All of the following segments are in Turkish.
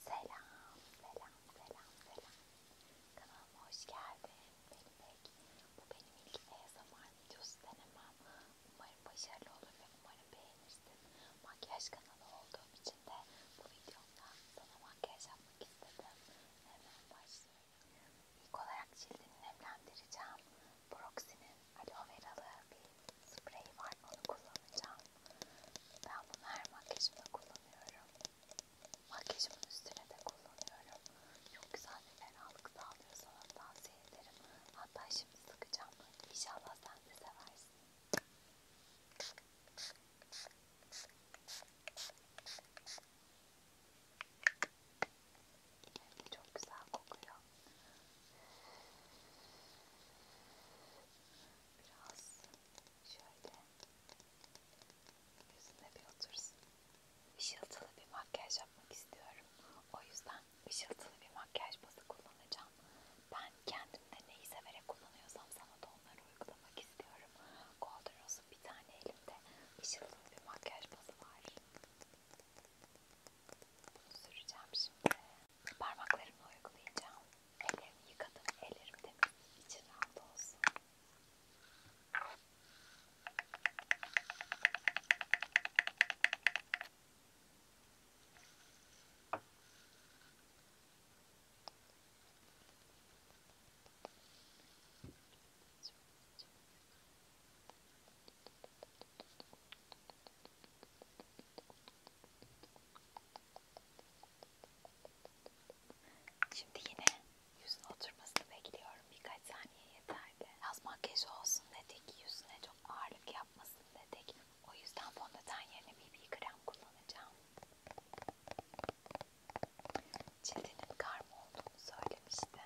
Selam, selam, selam, selam. Kanalıma hoş geldin. Benim pek, bu benim ilk ASMR videosu denemem. Umarım başarılı olur ve umarım beğenirsin. Makyaj kanalı olduğum için de bu videomda sana makyaj yapmak istedim. Hemen başlıyorum. İlk olarak cildini nemlendireceğim. Proxy'nin aloe veralı bir spreyi var. Onu kullanacağım. Ben bunu her makyajımda kullanıyorum. Makyajımın üstüne de kullanıyorum. Çok güzel bir ferahlık sağlıyor sana tavsiye ederim. Hatta şimdi sıkacağım. İnşallah sen de seversin. İlacı çok güzel kokuyor. Biraz Şöyle yüzüne bir otursun. Işıltılı bir makyaj yapmak istiyorum. O yüzden ışıltılı bir makyaj bazı kullanacağım. Ben kendimde neyi severek kullanıyorsam sana da onları uygulamak istiyorum. Golden Rose'un bir tane elimde ışıltılı bir makyaj bazı var. Bunu süreceğim şimdi. Parmaklarımla uygulayacağım. Ellerimi yıkadım. Ellerim temiz. İçin rahat olsun. Çok Şimdi yine yüzün oturmasını bekliyorum. Birkaç saniye yeterli. Az makyaj olsun dedik. Yüzüne çok ağırlık yapmasın dedik. O yüzden fondöten yerine BB krem kullanacağım. Cildinin karma olduğunu söylemişti.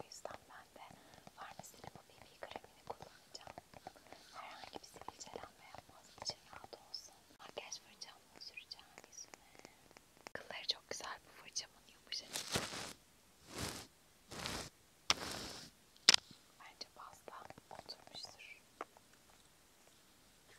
O yüzden ben de farmasinin bu BB kremini kullanacağım. Herhangi bir sivilcelenme yapmaz için rahat olsun. Makyaj fırçamla süreceğim yüzüme. Kılları çok güzel bu fırçamın yumuşacık. Bence pasta oturmuştur. Böyle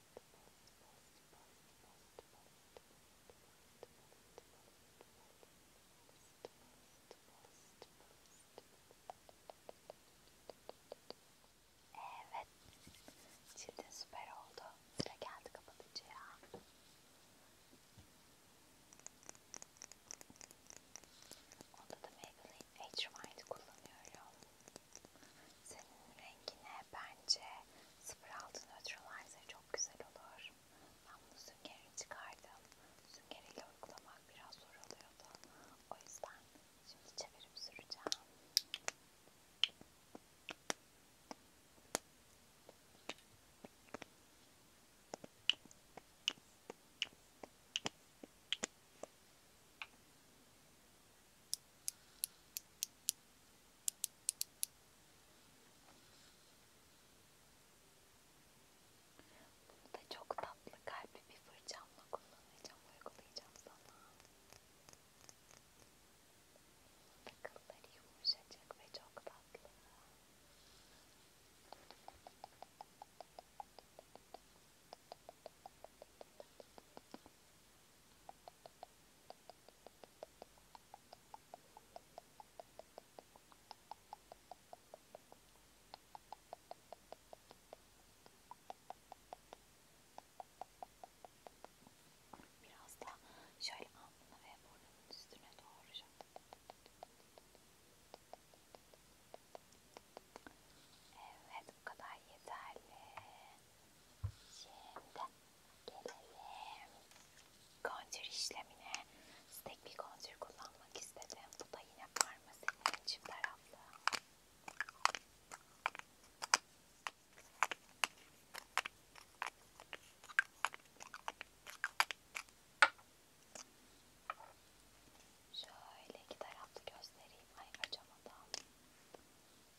Evet. Cildin süper oldu. Sıra geldi kapatıcıya. Onda da Maybelline Age Rewind kullanıyorum. Senin rengine bence 06 Neutralizer çok güzel olur. Ben bunu süngerini çıkardım. Süngeriyle uygulamak biraz zor oluyordu. O yüzden şimdi çevirip süreceğim. Evet bunu da çok tatlı kalpli bir fırçamla kullanacağım, uygulayacağım sana. Takılları yumuşacık ve çok tatlı. Biraz da şöyle alnına ve burnunun üstüne doğru Evet bu kadar yeterli. Şimdi gelelim kontür işlemine. Stek bir kontür kullanmak istedim. Bu da yine farmasinin çift taraflı. Şöyle iki taraflı göstereyim. Ay açamadım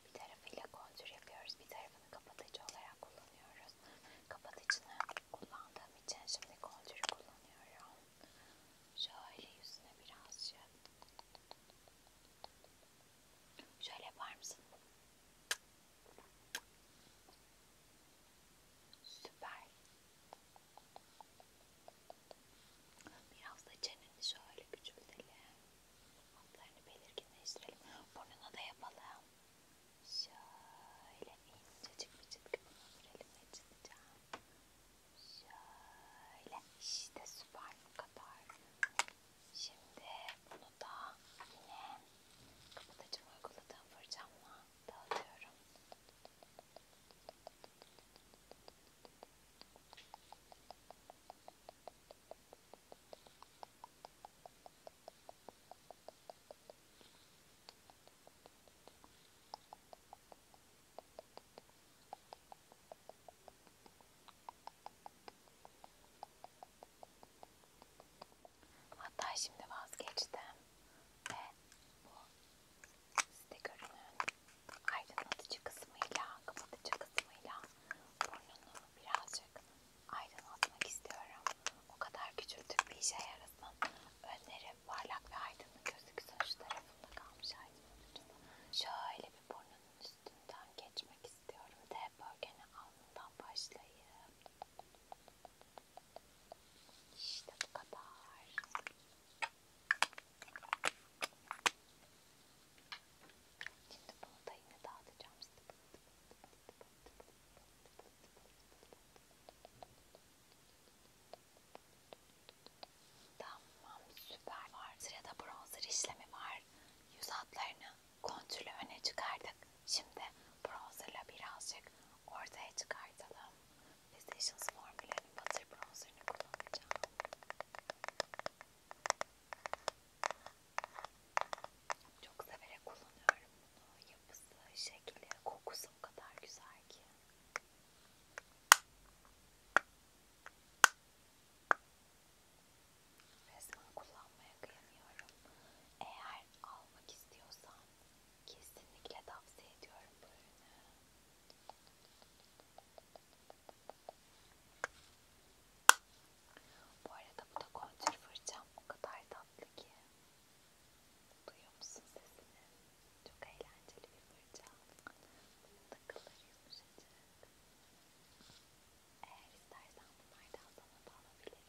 bir tarafıyla kontür yapıyoruz. Bir tarafını kapatıcı olarak kullanıyoruz. Kapatıcını kullandığım için şimdi kontürü kullanıyorum. Şöyle yüzüne birazcık. Şöyle yapar mısın? Süper. Biraz da çeneni şöyle küçültelim. Altlarını belirginleştirelim. Burnuna da yapalım. Şöyle incecik bir çizgi bunu sürelim çizeceğim. Şöyle işte süper bu kadar. Şimdi bunu da yine kapatıcım uyguladığım fırçamla dağıtıyorum. Hatta şimdi vazgeçtim ve bu stikerinin aydınlatıcı kısmıyla, kapatıcı kısmıyla burnunu birazcık aydınlatmak istiyorum. O kadar küçültük bir işe yarasın. Önleri parlak ve aydınlık gözüksün. Şu tarafında kalmış aydınlatıcı. Şöyle bir burnunun üstünden geçmek istiyorum. D bölgeni alnından başlayayım. İşte bu kadar. Şimdi bunu da yine dağıtacağım. Tamam süper var. Sırada bronzer işlemi var. Yüz hatlarını kontürle öne çıkardık. Şimdi bronzerla birazcık ortaya çıkartalım. Fixations formüllerinin butter bronzerini kullanacağım. Çok severek kullanıyorum bunu. Yapısı, şekli, kokusu o kadar güzel ki. Resmen kullanmaya kıyamıyorum. Eğer almak istiyorsan kesinlikle tavsiye ediyorum bu ürünü. Bu arada bu da kontür fırçam o kadar tatlı ki. Duyuyor musun sesini? Çok eğlenceli bir fırça. Takılar yumuşacık. Eğer istersen bunlardan sana da alabilirim.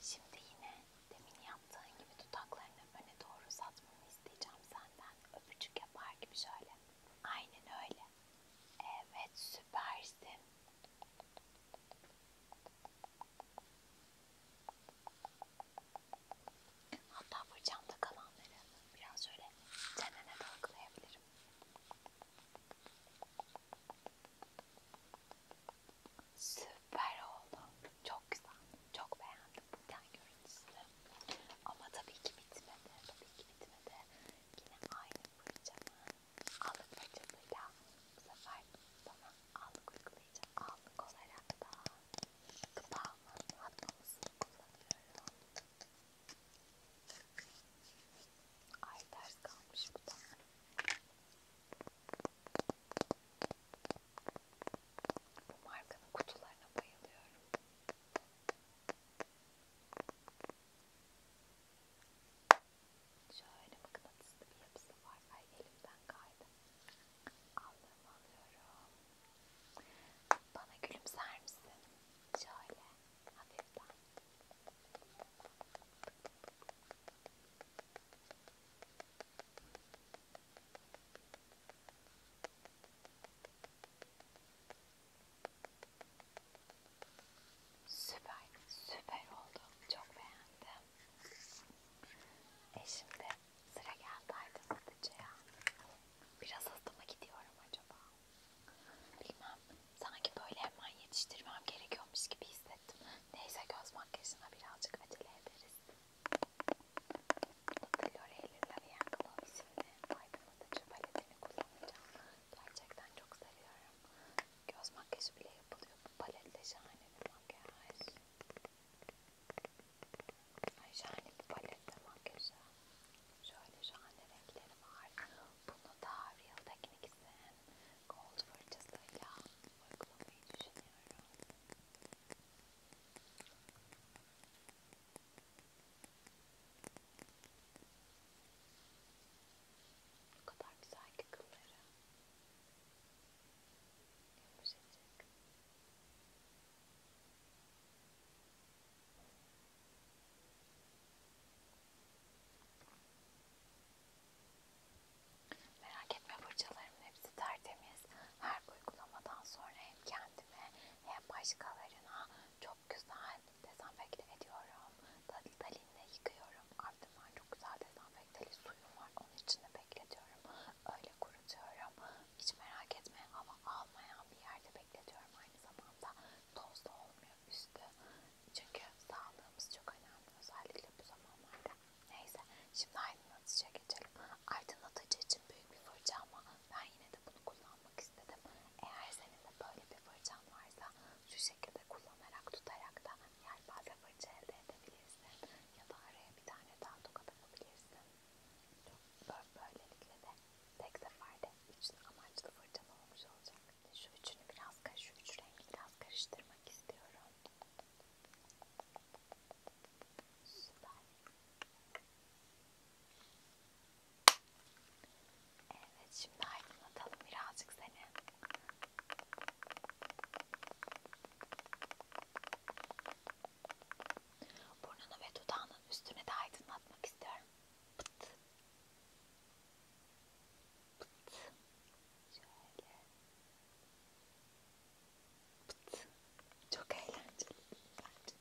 Şimdi yine demin yaptığın gibi dudaklarını öne doğru uzatmanı isteyeceğim senden. Öpücük yapar gibi şöyle. Aynen öyle. Evet Süpersin. Hatta fırçamda kalanları biraz şöyle çenene dalgalayabilirim. Süper oldu. Çok güzel. Çok beğendim bu ten görüntüsünü. Ama tabii ki bitmedi. Tabii ki bitmedi. Yine aynı fırçamı allık fırçasıyla bu sefer bana allık uygulayacağım. Allık olarak da kıpağımın atmamasını kullanıyorum. Ay ters kalmış bu da. Bu markanın kutularına bayılıyorum. Şöyle mıknatıslı bir yapısı var. Ay elimden kaydı. Aldığımı alıyorum. Bana gülümser misin? Şöyle hafiften. Süper, süper oldu. Çok beğendim. E şimdi sıra geldi aydınlatıcıya. Biraz hızlı mı gidiyorum acaba? Bilmem. Sanki böyle hemen yetiştirmem gerekiyormuş gibi hissettim. Neyse göz makyajına birazcık acele ederiz. L'Oreal L'Oreal Glow isimli renklerin aydınlatıcı paletini kullanacağım. Gerçekten çok seviyorum. Göz makyajı bile yapılıyor. Bu paletle şahane bir makyaj. Ay şahane bir paletle makyajı. Şöyle şahane renkleri var. Bunu da Real Techniques'in gold fırçasıyla uygulamayı düşünüyorum. O kadar güzel ki kılları. Yumuşacık. Merak etme fırçalarımın hepsi tertemiz. Her uygulamadan sonra hem kendime hem başkalarına çok çok güzel dezenfekte ediyorum. Dalinle yıkıyorum. Ardından çok güzel dezenfekteli suyum var. Onun içinde bekletiyorum. Öyle kurutuyorum. Hiç merak etme ama almayan bir yerde bekletiyorum. Aynı zamanda toz da olmuyor üstü. Çünkü sağlığımız çok önemli. Özellikle bu zamanlarda. Neyse şimdi aydınlatıcıya geçelim. Aydınlatıcı için büyük bir fırça ama ben yine de bunu kullanmak istedim. Eğer senin de böyle bir fırçan varsa şu şekilde kullanarak tutarak da yelpaze fırça elde edebilirsin ya da araya bir tane daha tokat atabilirsin. Böylelikle de tek seferde üç amaçlı fırçam olmuş olacak. Şu üçünü biraz karış, üç rengi biraz karıştırmak istiyorum. Süper. Evet şimdi aydınlatalım birazcık seni. Burnunu ve dudağının üstüne de aydınlatmak istiyorum. Pıt. Pıt. Şöyle. Pıt. Çok eğlenceli. Bence.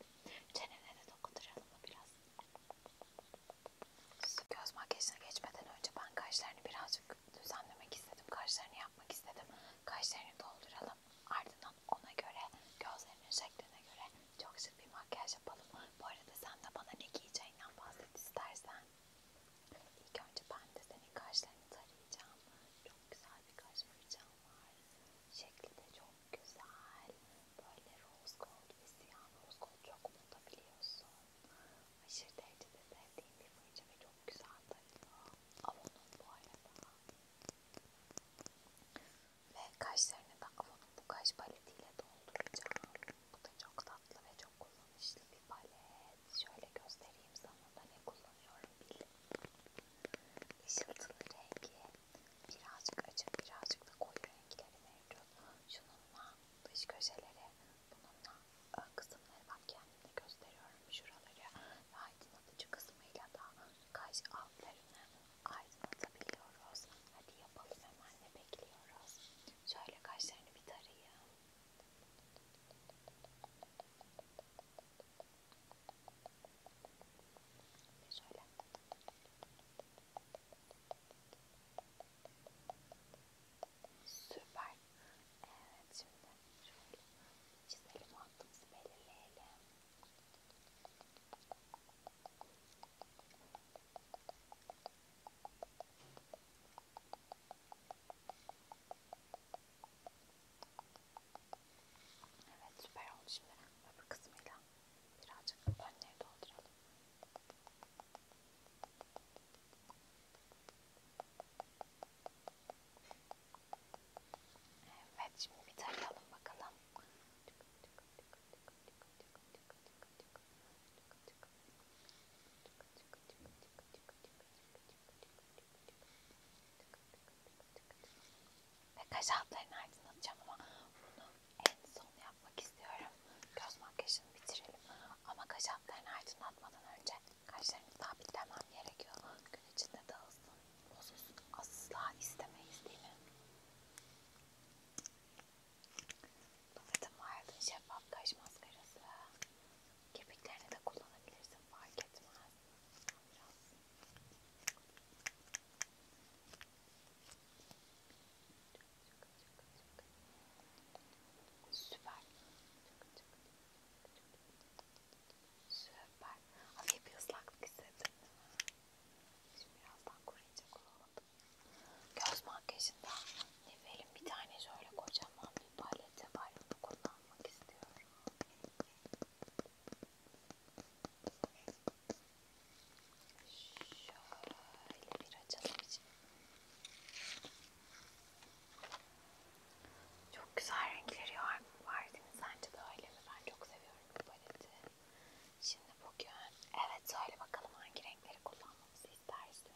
Çenene de dokunduralım biraz. Göz makyajına geçmeden önce ben kaşlarını birazcık düzenlemek istedim. Kaşlarını yapmak istedim. Kaşlarını dolduralım. Ardından ona göre gözlerinin şekline göre çok şık bir makyaj yapalım. Bu arada sen de bana ne giyeceğinden bahset istersen. İlk önce ben de senin kaşlarını tarayacağım. Çok güzel bir kaş fırçam var. Şekli de çok güzel böyle rose gold ve siyah rose gold çok unutabiliyorsun. Aşırı derecede sevdiğim bir fırça ve çok güzel tabii. Avon'un bu arada. Ve kaşlarını da Avon'un bu kaş paletiyle dolduracağım. Bu da çok tatlı ve çok kullanışlı bir palet. Şöyle göstereyim sana da ne kullanıyorum bilin. Işıltılı rengi. Birazcık açık birazcık da koyu renkleri mevcut. Şununla dış köşeleri bununla ön e, kısımları ben kendimde gösteriyorum şuraları ve aydınlatıcı kısmıyla da kaş altlarını aydınlatabiliyoruz. Hadi yapalım hemen ne bekliyoruz. Şöyle kaşlarını bir tarayayım. Ve şöyle Süper. Evet şimdi şöyle çizelim hattımızı belirleyelim. Evet süper oldu şimdi öbür kısmıyla birazcık önleri dolduralım. Evet. Evet şimdi bir tarayalım bakalım. Ve kaş altlarını aydınlatacağım ama bunu en son yapmak istiyorum. Göz makyajını bitirelim. Ama kaş altlarını aydınlatmadan önce kaşlarını sabitlemem gerekiyor. Gün içinde dağılsın, bozulsun. Asla istemeyiz değil mi? Bakın Wild'ın şeffaf kaş maskarası. Kirpiklerini de kullanabilirsin. Fark etmez. Biraz. Süper. Süper. Hafif bir ıslaklık hissettim. Şimdi birazdan koruyacak olalım. Göz makyajında Nevel'in bir tane şöyle kocaman bir paleti var. Bunu kullanmak istiyorum. Şöyle bir açalım için. Çok güzel renkleri var, var değil mi? Sence de öyle mi? Ben çok seviyorum bu paleti. Şimdi bugün, evet söyle bakalım hangi renkleri kullanmamızı istersin?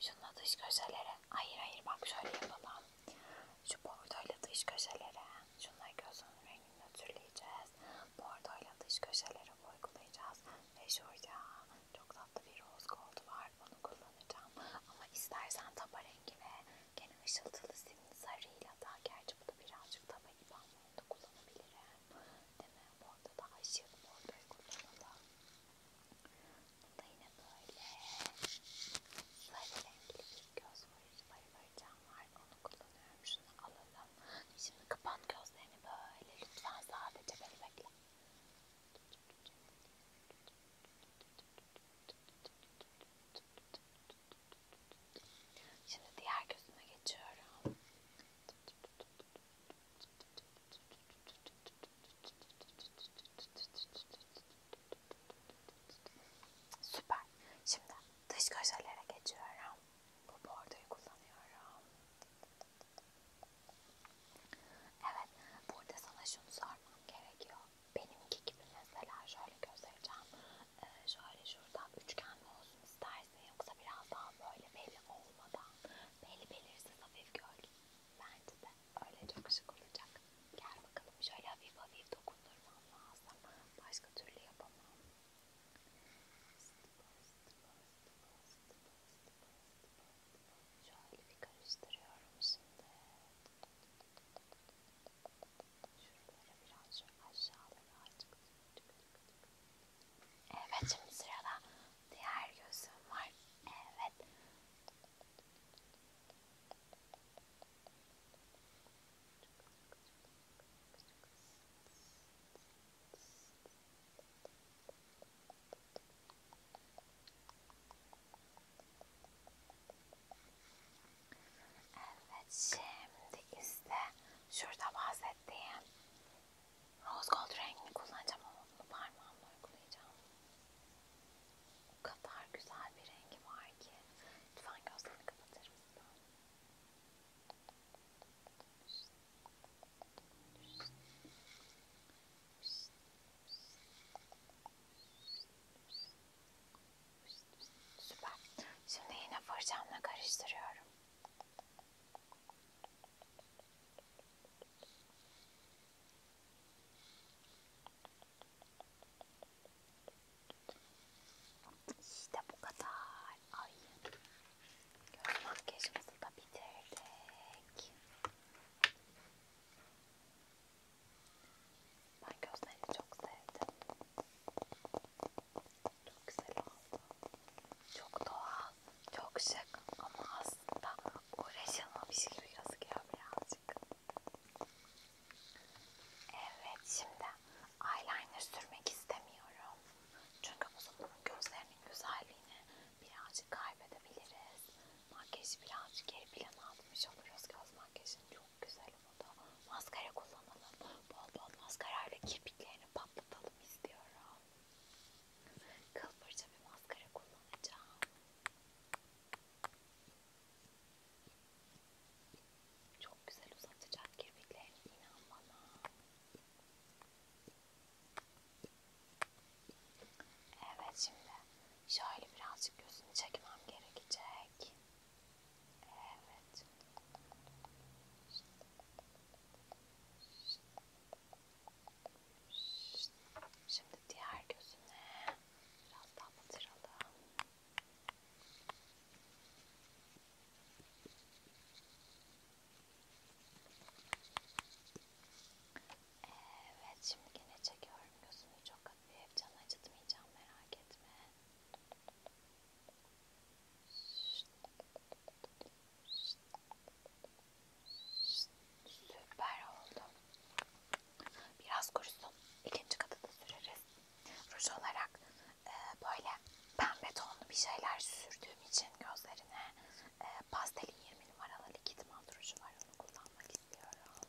Şununla dış köşelere, hayır hayır bak şöyle yapalım. Şu bordoyla dış köşelere, şunları göz önü rengini nötrleyeceğiz bordoyla dış köşelere uygulayacağız. Ve şurada çok tatlı bir roz gold var. Bunu kullanacağım. Ama istersen taba rengi ve gene ışıltılı simli sarıyla da gerçi bu da birazcık taba gibi ama onu da kullanabilirim. Değil mi? Bordo daha ışık bordoyu kullanalım. Bunu da yine böyle sarı renkli bir göz varıcı var. Onu kullanıyorum. Şunu alalım. Tamam. Şimdi kapan gözlerini böyle. Lütfen sadece beni bekle. Şimdi diğer gözüme geçiyorum. Süper. Şimdi dış köşelere geçiyorum. Bu bordoyu kullanıyorum. Evet, burada sana şunu sormam gerekiyor. Benimki gibi mesela şöyle göstereceğim. Ee, şöyle şuradan üçgen mi olsun istersin yoksa biraz daha böyle belli olmadan, belli belirsiz hafif gölge. Bence de öyle çok şık olacak. Gel bakalım şöyle hafif hafif dokundurmam lazım. Başka türlü yapamam. Şöyle bir karıştırıyorum şimdi. Şuralara biraz şu aşağılara açık. Evet şimdi sırada diğer gözüm var. Evet. Şöyle Evet şimdi ise şurada bahsettiğim rose gold rengini kullanacağım ama bunu parmağımla uygulayacağım. O kadar güzel bir rengi var ki. Lütfen gözlerini kapatır mısın? İşte. Süper. Şimdi yine fırçamla karıştırıyorum. İşte bu kadar. Ay. Göz makyajımızı da bitirdik. Ben gözlerini çok sevdim. Çok güzel oldu. Çok doğal, çok şık ama aslında uğraşılmamış gibi gözüküyor birazcık. Evet şimdi eyeliner sürmek istemiyorum. Çünkü bu zamanın gözlerinin güzelliğini birazcık kaybedebiliriz. Makyajı birazcık geri plana atmış oluruz. Göz makyajını çok güzel oldu. Maskara kullanalım. Bol bol maskarayla kirpiklerini patlatalım istiyorum. Kıl fırça bir maskara kullanacağım. Çok güzel uzatacak kirpiklerini inan bana. Evet şimdi şöyle birazcık gözünü çekmem gerekecek. Evet. Şimdi diğer gözüne biraz daha batıralım. Evet şimdi yine çekiyorum gözünü çok hafif canı acıtmayacağım merak etme. Süper oldu. Biraz kurusun. İkinci katı da süreriz. Ruj olarak e, böyle pembe tonlu bir şeyler sürdüğüm için gözlerine e, pastelin 20 numaralı likit mal duruşu var onu kullanmak istiyorum.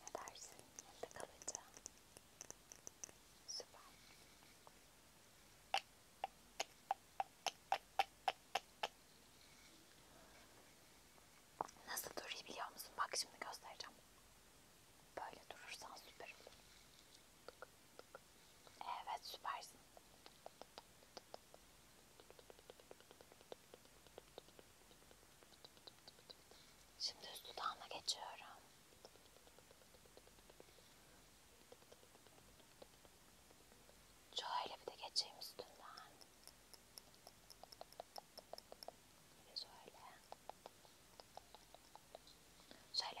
Ne dersin? Elde kalıcı. Süper. Nasıl duruyor biliyor musun? Bak şimdi göstereceğim. Böyle durursan süper olur. Evet süpersin. Şimdi üst dudağına geçiyorum. Şöyle bir de geçeyim üstünden. Şöyle. Şöyle.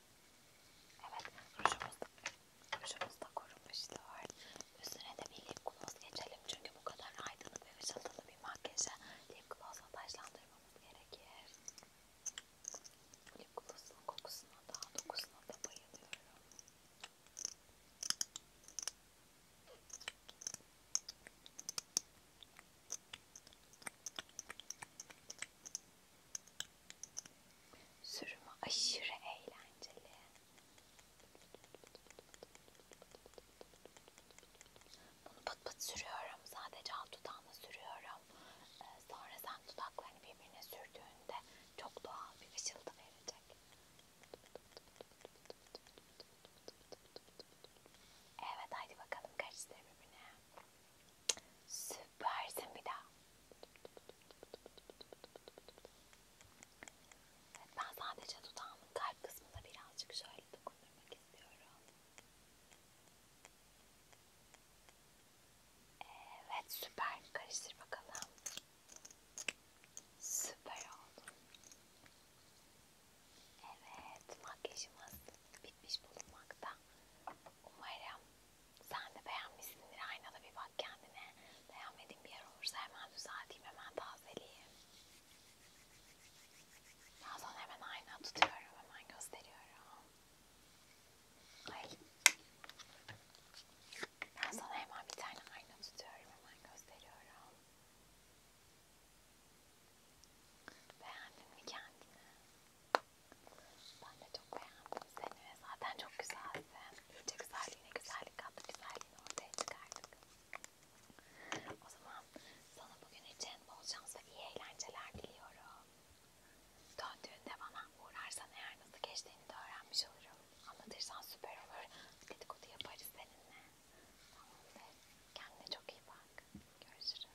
Evet, rujumuz da, rujumuz da korunmuştu var. Üstüne de bir lip gloss geçelim çünkü bu kadar aydınlık ve ışıltılı bir makyaja lip glossla taşlandırmamız gerekir. Lip glossun kokusuna da, dokusuna da bayılıyorum. Sürümü aşırı eğlenceli. Bunu pat pat sürüyorum. Sadece alt dudağına sürüyorum. Ee, sonra sen dudaklarını birbirine sürdüğünde çok doğal bir ışıltı verecek. Evet haydi bakalım karıştır birbirine. Süpersin bir daha. Evet, ben sadece dudağımın kalp kısmına birazcık şöyle dokundurmak istiyorum. Evet süper. Karıştır bakalım. Süper oldu. Evet makyajımız bitmiş bulunmakta. Umarım sen de beğenmişsindir. Aynada bir bak kendine. Beğenmediğin bir yer olursa hemen düzelteyim, hemen tazeleyeyim. Ben sana hemen ayna tutuyorum, hemen gösteriyorum. Ay. Ben sana hemen bir tane ayna tutuyorum, hemen gösteriyorum. Beğendin mi kendini? Ben de çok beğendim seni ve zaten çok güzelsin. İyice güzelliğine güzellik kattı, güzelliğini ortaya çıkardık. O zaman sana bugün için bol şans ve iyi eğlenceler diliyorum. Döndüğünde bana uğrarsan eğer nasıl geçtiğini de öğrenmiş olurum. Anlatırsan süper olur. Dedikodu yaparız seninle. Tamam Kendine çok iyi bak. Görüşürüz.